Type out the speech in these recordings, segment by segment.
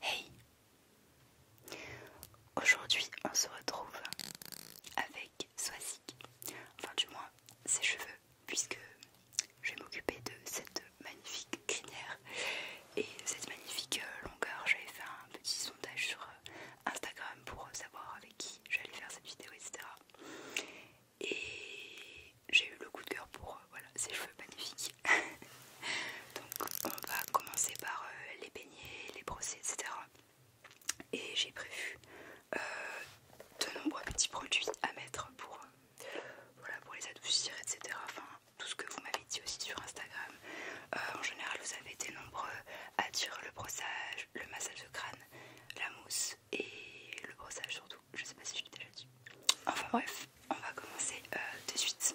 Hey Aujourd'hui on se retrouve avec Swazik, enfin du moins ses cheveux, puisque je vais m'occuper de cette magnifique crinière et cette magnifique euh, longueur. J'avais fait un petit sondage sur euh, Instagram pour savoir avec qui je j'allais faire cette vidéo, etc. Et j'ai eu le coup de cœur pour euh, voilà, ces cheveux magnifiques. Donc on va commencer par euh, les peigner, les brosser, etc. Et j'ai prévu euh, de nombreux petits produits à mettre pour, pour les adoucir, etc. Enfin, tout ce que vous m'avez dit aussi sur Instagram, euh, en général, vous avez été nombreux à dire le brossage, le massage de crâne, la mousse et le brossage surtout. Je sais pas si je l'ai déjà dit. Enfin bref, on va commencer euh, de suite.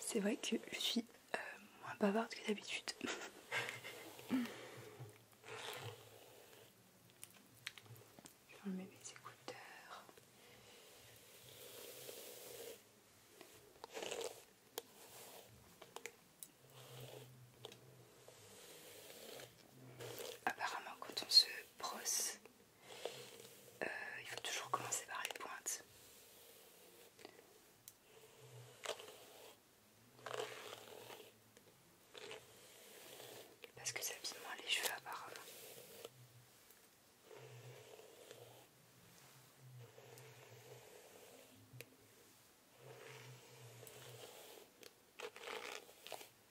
C'est vrai que je suis euh, moins bavarde que d'habitude. je vais enlever mes écouteurs. Apparemment, quand on se brosse, euh, il faut toujours commencer par les pointes. Parce que ça abîme moins les cheveux apparemment.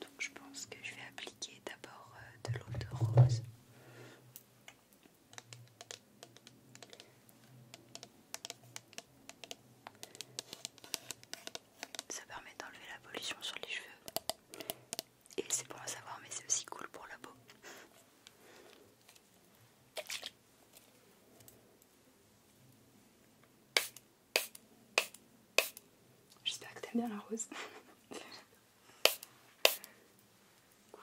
Donc je pense que je vais appliquer d'abord euh, de l'eau de rose. Ça permet d'enlever la pollution sur les cheveux et c'est pour le savoir, mais c'est aussi cool pour la peau. J'espère que t'aimes bien la rose. cool.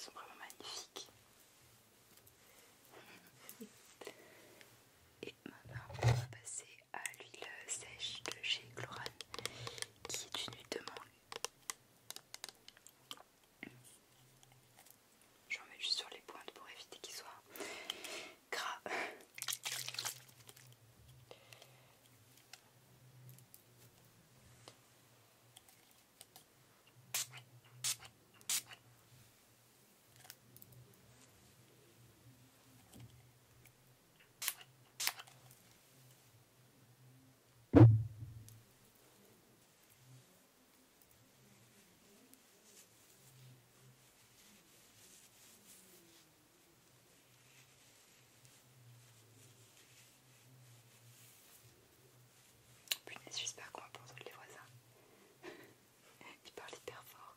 Ils sont vraiment magnifiques. Et maintenant, on va passer à l'huile sèche de chez Chlorane, qui est une huile de mangue. J'en mets juste sur les pointes pour éviter qu'ils soient gras puis ne suis pas pas entendre les voisins. Il parle hyper fort.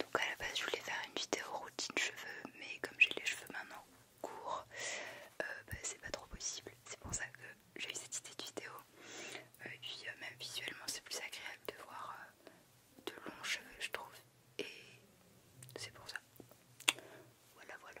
Donc à la base je voulais faire une vidéo routine cheveux mais comme j'ai les cheveux maintenant courts euh, bah, c'est pas trop possible c'est pour ça que j'ai eu cette idée de vidéo et puis euh, même visuellement c'est plus agréable de voir euh, de longs cheveux, je trouve, et c'est pour ça. Voilà, voilà.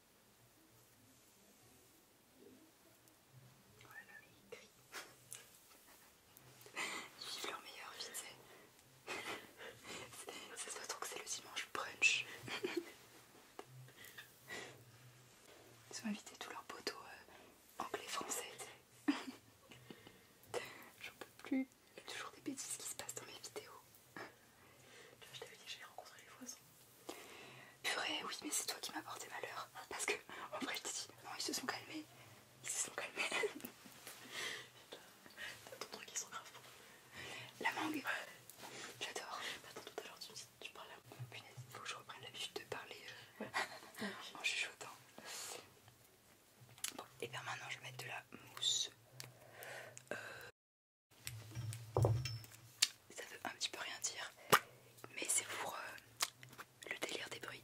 Oh là là, mais Ils vivent leur meilleure vie, tu Ça se trouve que c'est le dimanche brunch. Ils ont invité tous leurs potos euh, anglais français, tu J'en peux plus. Il y a toujours des bêtises qui se passent dans mes vidéos. je t'avais dit que j'allais rencontrer les voisins. Purée, oui, mais c'est toi qui m'as porté malheur. Parce que, en vrai, je t'ai dit, non, ils se sont calmés. Ils se sont calmés. T'as ton truc, ils sont grave La mangue J'adore. Bah, attends, tout à l'heure, tu tu parles à moi. Punaise, il faut que je reprenne l'habitude de parler en euh. chuchotant. Hein. Bon, et bien maintenant, je vais mettre de la mousse. Euh. Ça veut un petit peu rien dire, mais c'est pour euh, le délire des bruits.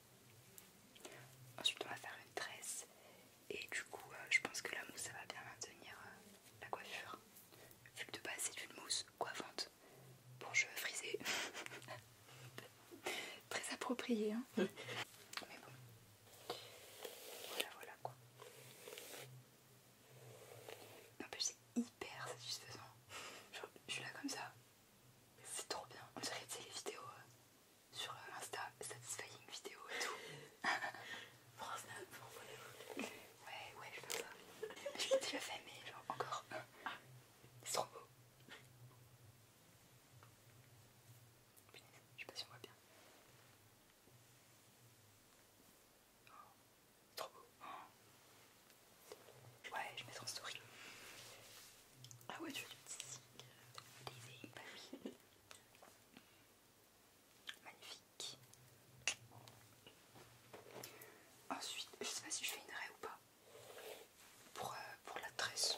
Ensuite on va faire une tresse et du coup euh, je pense que la mousse ça va bien maintenir euh, la coiffure. Vu que de base c'est une mousse coiffante pour cheveux frisés. Très approprié hein Mais bon. Voilà voilà quoi. mais c'est hyper satisfaisant. Genre, je suis là comme ça. C'est trop bien. On dirait que c'est les vidéos euh, sur Insta Satisfying vidéo et tout. Prends Snap pour Ouais, ouais, je fais pas je l'ai déjà fait, mais genre encore. c'est trop beau. Je sais pas si on voit bien. C'est trop beau. Ouais, je mets ça en story. Ah ouais, tu fais du petit signe. Magnifique. Ensuite, je sais pas si je fais une raie ou pas. Euh, pour, la tresse.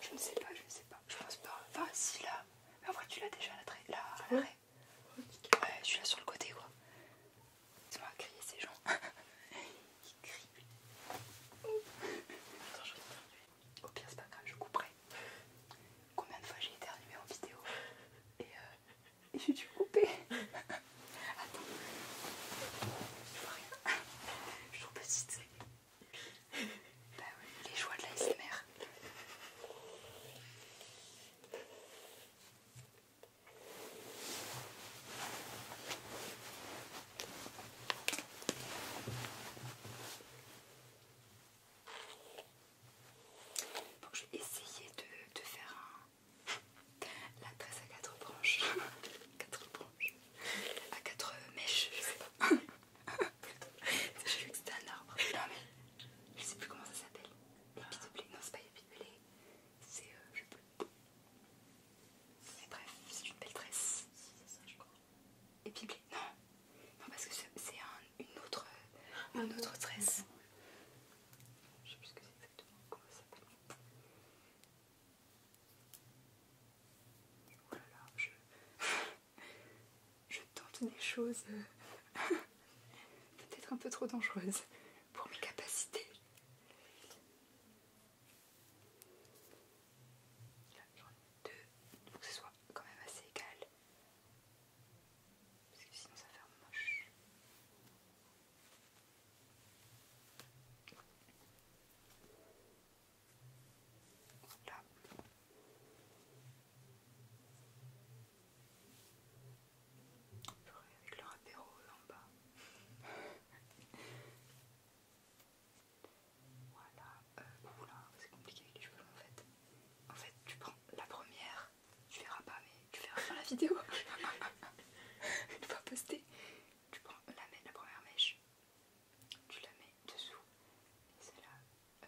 Je ne sais pas, je ne sais pas. Je pense pas. Enfin, si là. en vrai, tu l'as déjà la, la, ouais. Ouais, je suis là sur le côté quoi. Ils m'ont crier ces gens. qui crie. je Au pire, c'est pas grave, je couperai. Combien de fois j'ai éternué en vidéo et, euh, et j'ai dû couper. Attends, je vois rien. Je suis trop petite. Bah oui, les joies de la SMR. Bon, je vais essayer de, de faire un... la tresse à quatre branches. quatre branches. À quatre mèches, je sais pas. J'ai vu que c'était un arbre. Non mais, je sais plus comment ça s'appelle. Bah. Épi Non, c'est pas épi C'est... Euh, je sais mais bref, c'est une belle tresse. C'est ça, je crois. Et puis Non, non parce que c'est un, une autre, ah tresse. Je sais plus ce que c'est exactement, comment ça s'appelle. Oh là là, je, je tente des choses euh, peut-être un peu trop dangereuses pour mes capacités y j'en ai deux, il faut que ce soit quand même assez égal. Parce que sinon ça fait un moche. Voilà. Avec le apéro en bas. Voilà. Euh, c'est compliqué avec les cheveux en fait. En fait, tu prends la première, tu verras pas, mais tu verras faire la vidéo. Une fois postée, tu prends la, la première mèche, tu la mets dessous, et celle-là. Euh,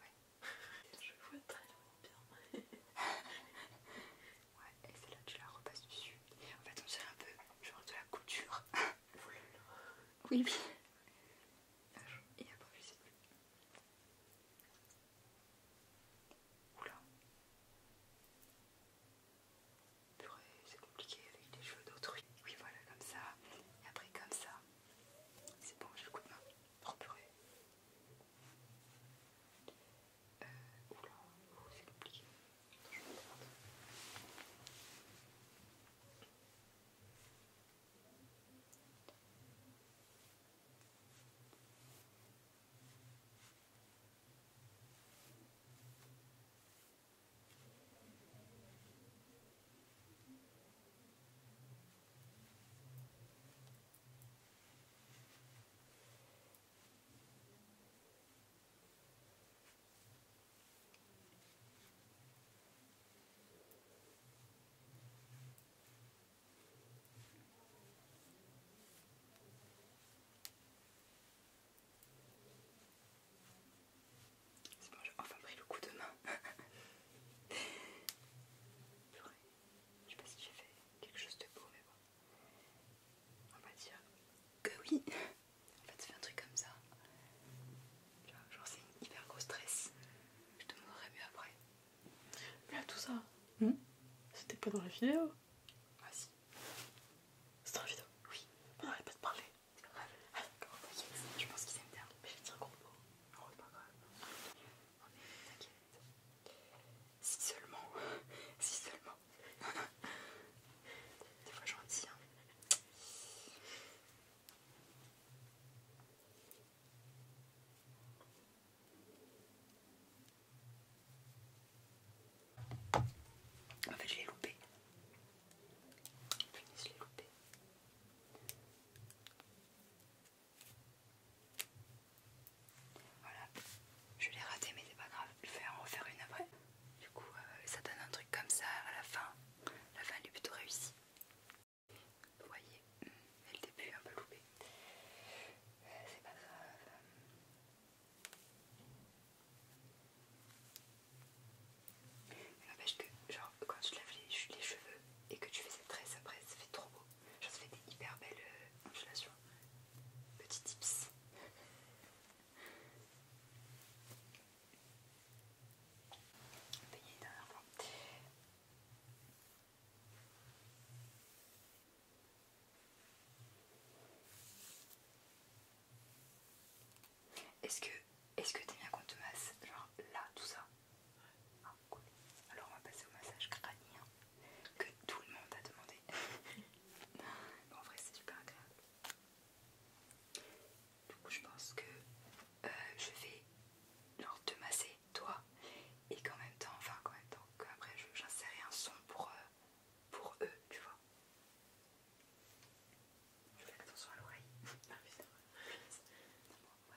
ouais. Je vois très bien. Ouais, et c'est là tu la repasses dessus. En fait, on dirait un peu genre de la couture. oui, oui. et après, je sais plus. Oula. Purée, c'est compliqué avec les cheveux d'autrui. Oui, voilà, comme ça. Et après, comme ça. C'est bon, je le coup de oh, purée. Euh, oula, oh, c'est compliqué. C'est bon, j'ai enfin pris le coup de main. Je sais pas si j'ai fait quelque chose de beau, mais bon on va dire que oui. En fait, c'est un truc comme ça. Genre, c'est une hyper grosse stress, Je te montrerai mieux après. Mais là, tout ça, hmm c'était pas dans la vidéo. Ah, si. C'est dans la vidéo Oui. On arrête pas de parler. t'inquiète. Ah, je pense qu'ils aiment bien. Mais je vais dire gros mot. Oh, c'est pas grave. t'inquiète. Si seulement, si seulement. Des fois gentil. Hein. En fait, je l'ai loupé. je l'ai loupé. Voilà, je l'ai raté, mais c'est pas grave, je vais en refaire une après. Du coup, euh, ça donne un truc comme ça à la fin. La fin, elle est plutôt réussie. Vous voyez, hmm, elle le début un peu loupé. Euh, c'est pas grave. n'empêche que, genre, quand tu laves les, les cheveux et que tu fais cette tresse après, ça fait trop beau. Genre, ça fait des hyper belles euh, ondulations. Petit tips. Est-ce que est-ce que t'es bien qu'on te masse genre là tout ça ah, Alors on va passer au massage crânien que tout le monde a demandé. en vrai, c'est super agréable. Du coup, je pense que euh, je vais te masser, toi, et qu'en même temps, enfin, qu'en même temps, après, j'insérerai un son pour, euh, pour eux, tu vois. Je fais attention à l'oreille.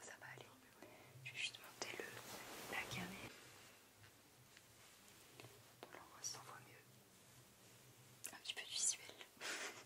ça va aller. Je vais juste monter le la voilà, ça voit mieux. Un petit peu de visuel.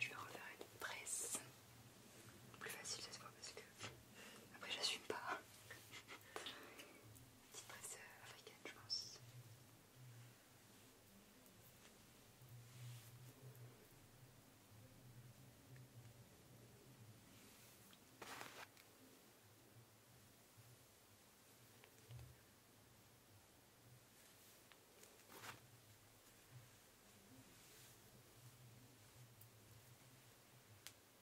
Je vais refaire une presse plus facile cette fois parce que après, je j'assume pas. Petite presse euh, africaine, je pense.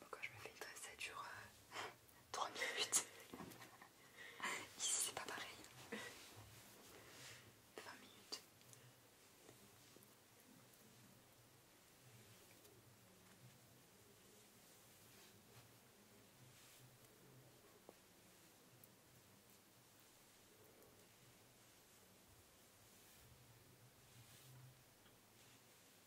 Bon, quand je me fais une tresse, ça dure 3 minutes. Ici, c'est pas pareil. 20 minutes.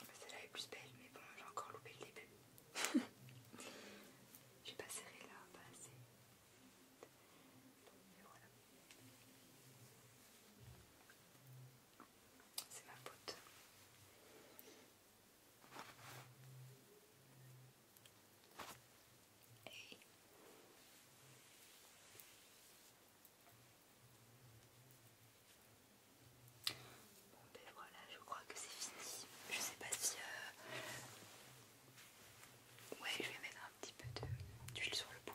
Celle-là est plus belle, mais bon, j'ai encore loupé le début. j'ai pas serré là, pas assez. voilà. C'est ma pote. et Bon ben voilà, je crois que c'est fini. Je sais pas si... Euh, ouais, je vais mettre un petit peu d'huile sur le bout.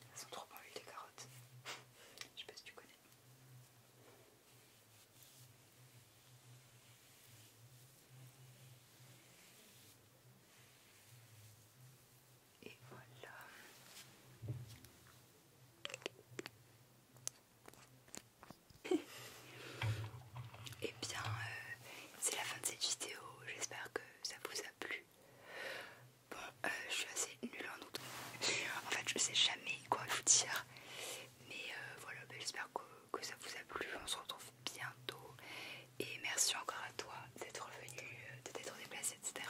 Elles sont trop bonnes des carottes. Je sais pas si tu connais. Et voilà. Et eh bien, euh, c'est la fin de cette vidéo. J'espère que ça vous a plu. Bon, euh, je suis assez nulle en août. Euh, en fait, je sais jamais quoi vous dire. Mais euh, voilà, bah, j'espère que, ça vous a plu. On se retrouve bientôt. Et merci encore à toi d'être venu, de t'être déplacé, etc.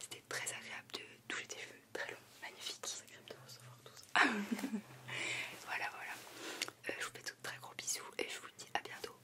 C'était très agréable de toucher tes cheveux, très long, magnifique. Très agréable de recevoir voilà, voilà. je vous fais de très gros bisous et je vous dis à bientôt.